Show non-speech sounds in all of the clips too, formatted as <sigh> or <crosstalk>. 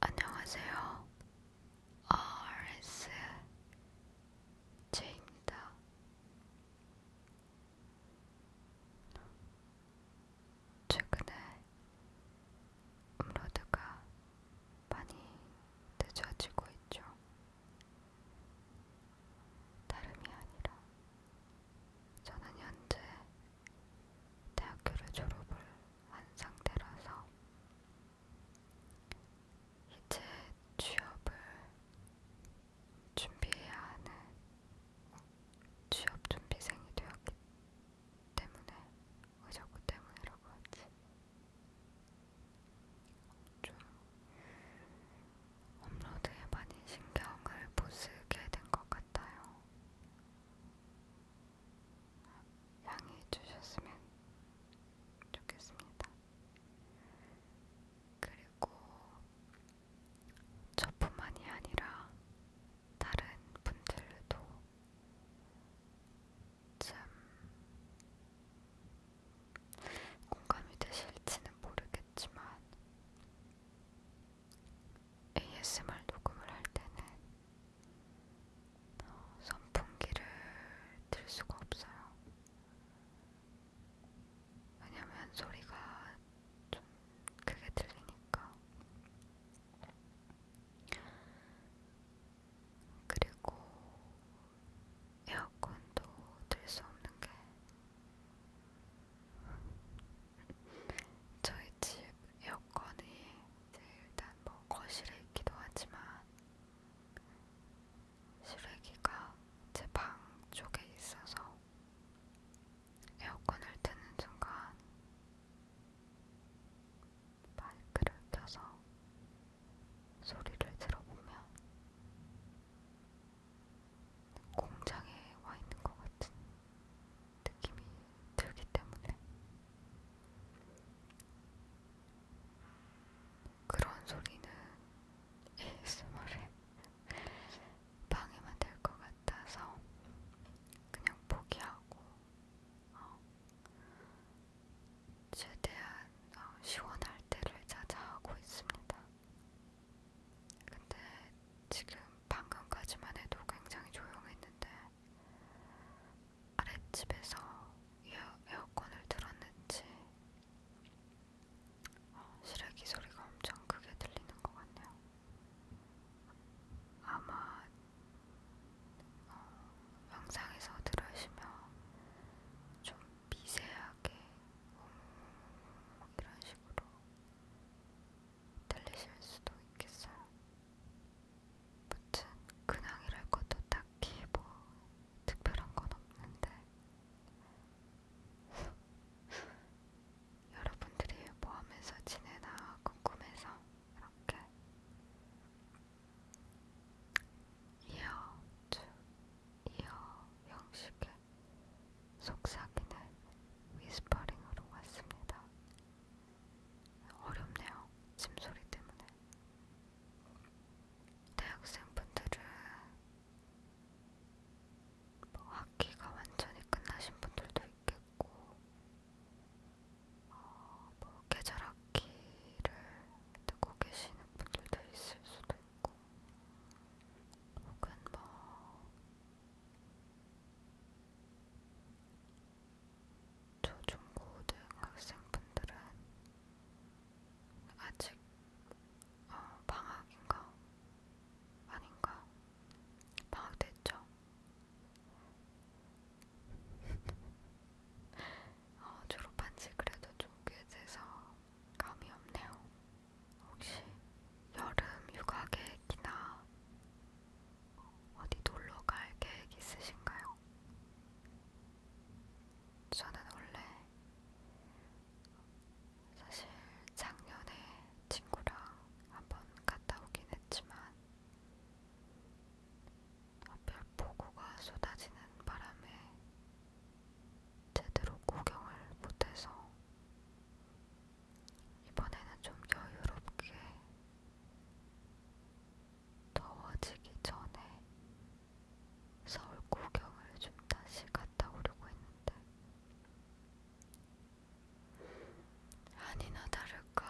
안녕하세요. RS 제입니다. 최근에 업로드가 많이 늦어지고 있죠. 다름이 아니라 저는 현재 대학교를 졸업을 한 상태라서 이제 취업을 준비해야 하는 취업 준비생이 되었기 때문에 의자고 때문이라고 하지 좀 업로드에 많이 신경을 못 쓰게 된 것 같아요. 양해해 주셨으면 좋겠습니다. 그리고 저뿐만이 아니라 다른 분들도 참 공감이 되실지는 모르겠지만 ASMR 녹음을 할 때는 어, 선풍기를 들 수가 없어요. 왜냐면 소리가 좀 크게 들리니까. 그리고 에어컨도 들 수 없는 게 저희 집 에어컨이 일단 뭐 거실에 있기도 하지만 실외기가 제 방 쪽에 있어서 에어컨을 트는 순간 마이크를 켜서 소리를 들어보면 공장에 와 있는 것 같은 느낌이 들기 때문에 그런 소리는 ASMR에 방해만 될 것 같아서 그냥 포기하고 어, 최대한 어, 시원할 때를 찾아하고 있습니다. 근데 지금 방금까지만 해도 굉장히 조용했는데 아랫집에서 에어, 에어컨을 틀었는지 어, 시래기 소리가 엄청 크게 들리는 것 같네요. 아마 어, 영상에서 들으시면 좀 미세하게 음, 이런 식으로 들리실 수도 있겠어요. 무튼 근황이랄 것도 딱히 뭐 특별한 건 없는데 <laughs> 여러분들이 뭐 하면서 지내나 궁금해서 이렇게 이어 쭉 이어 형식의 속삭이는 위스퍼링으로 왔습니다. 어렵네요. 짐소리 때문에. 대학생분들은 뭐 학기가 완전히 끝나신 분들도 있겠고, 어, 뭐 계절 학기를 듣고 계시는 분들도 있을 수도 있고, 혹은 뭐 초중고등학생분들은 아직 어, 방학인가? 아닌가? 방학 됐죠? <laughs> 어, 졸업한 지 그래도 좀꽤 돼서 감이 없네요. 혹시 여름 휴가 계획이나 어디 놀러 갈 계획 있으신가요? 저는 원래 사실 작년에 친구랑 한번 갔다 오긴 했지만 별보고가 쏟아지는 바람에 제대로 구경을 못해서 이번에는 좀 여유롭게 더워지기 전에 서울 구경을 좀 다시 갔다 오려고 했는데 아니나 다를까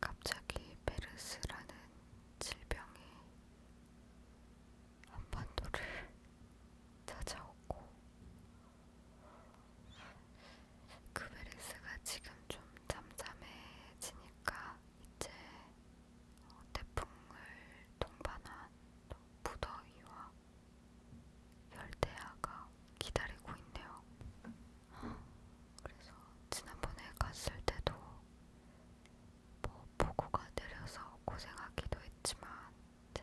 갑자기 베르스라는 질병이 한반도를 찾아오고 그베리스가 지금 좀 잠잠해지니까 이제 어, 태풍을 동반한 무더위와 열대야가 기다리고 있네요. 그래서 지난번에 갔을 때도 뭐 폭우가 내려서 고생하기도 했지만 이제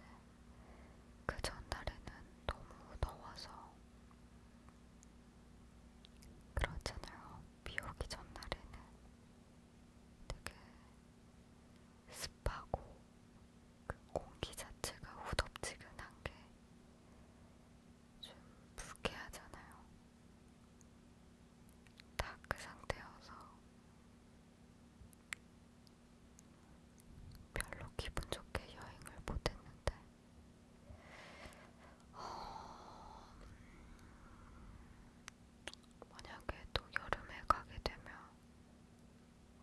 그 전날에는 너무 더워서 그렇잖아요. 비 오기 전날에는 되게 습하고 그 공기 자체가 후덥지근한 게 좀 불쾌하잖아요. 딱 그 상태여서 별로 기분 좋게 여행을 못했는데, 어... 음, 만약에 또 여름에 가게 되면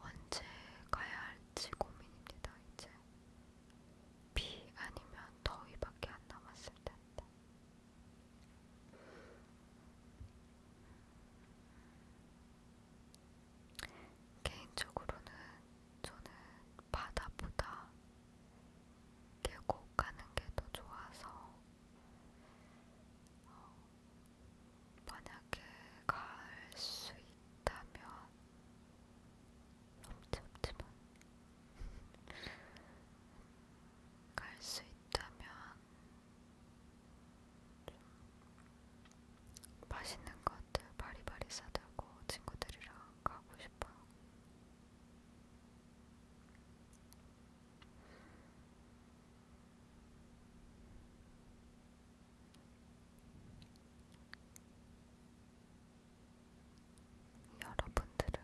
언제 가야 할지 고민입니다. 이제 비 아니면 더위밖에 안 남았을 텐데. 개인적으로는 저는 바다보다 계곡 가는 게 더 좋아서 어, 만약에 갈 수 있다면 넘치지만 <laughs> 갈 수 있다면 맛있는 것들 바리바리 싸들고 친구들이랑 가고 싶어요. 여러분들은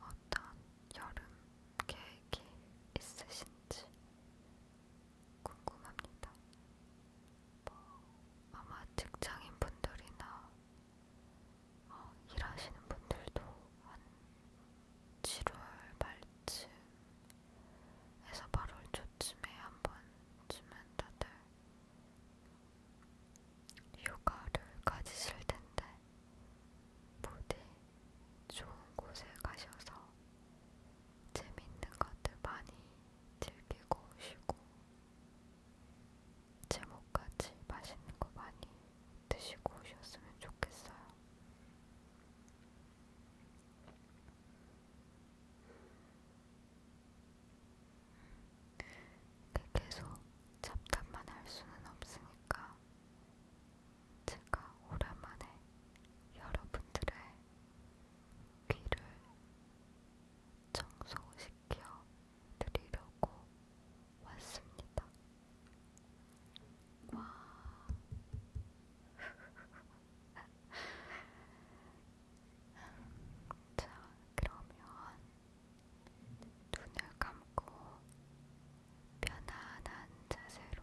어떤 여름 계획이 있으신지 궁금합니다. 뭐 아마 직장인 분들이나 어, 일하시는 분들도 한 7월 말쯤에서 8월 초쯤에 한 번쯤은 다들 휴가를 가지실 텐데 부디 좋은 곳에 가셔서 재밌는 것들 많이 즐기고 오시고 제목같이 맛있는 거 많이 드시고 오셨으면 좋겠어요. 음, 계속 잡담만 할 수는 없으니까 제가 오랜만에 여러분들의 귀를 청소시켜 드리려고 왔습니다. 와. <laughs> 자, 그러면 눈을 감고 편안한 자세로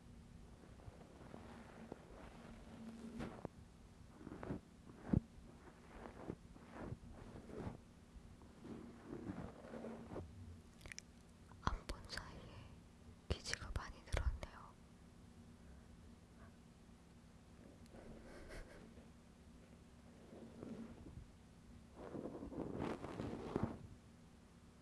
안본 사이에 기지가 많이 늘었네요.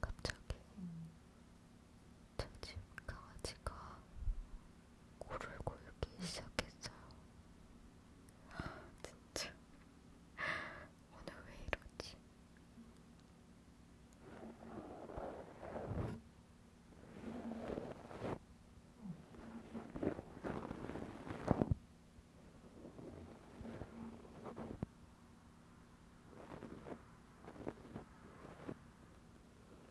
갑자기 저집 음. 강아지가 코를 골기 시작했어요. <gasps> 진짜 오늘 왜 이러지?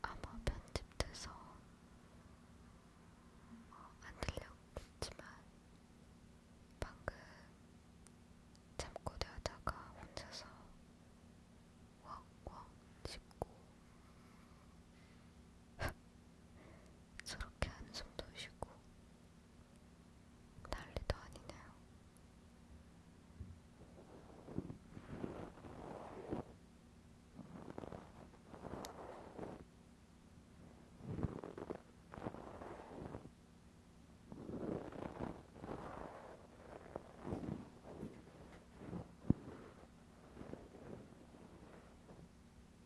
아마 편집돼서 어, 안 들렸겠지만 방금 잠꼬대하다가 혼자서 왁왁 짚고 저렇게 한숨도 쉬고 난리도 아니네요.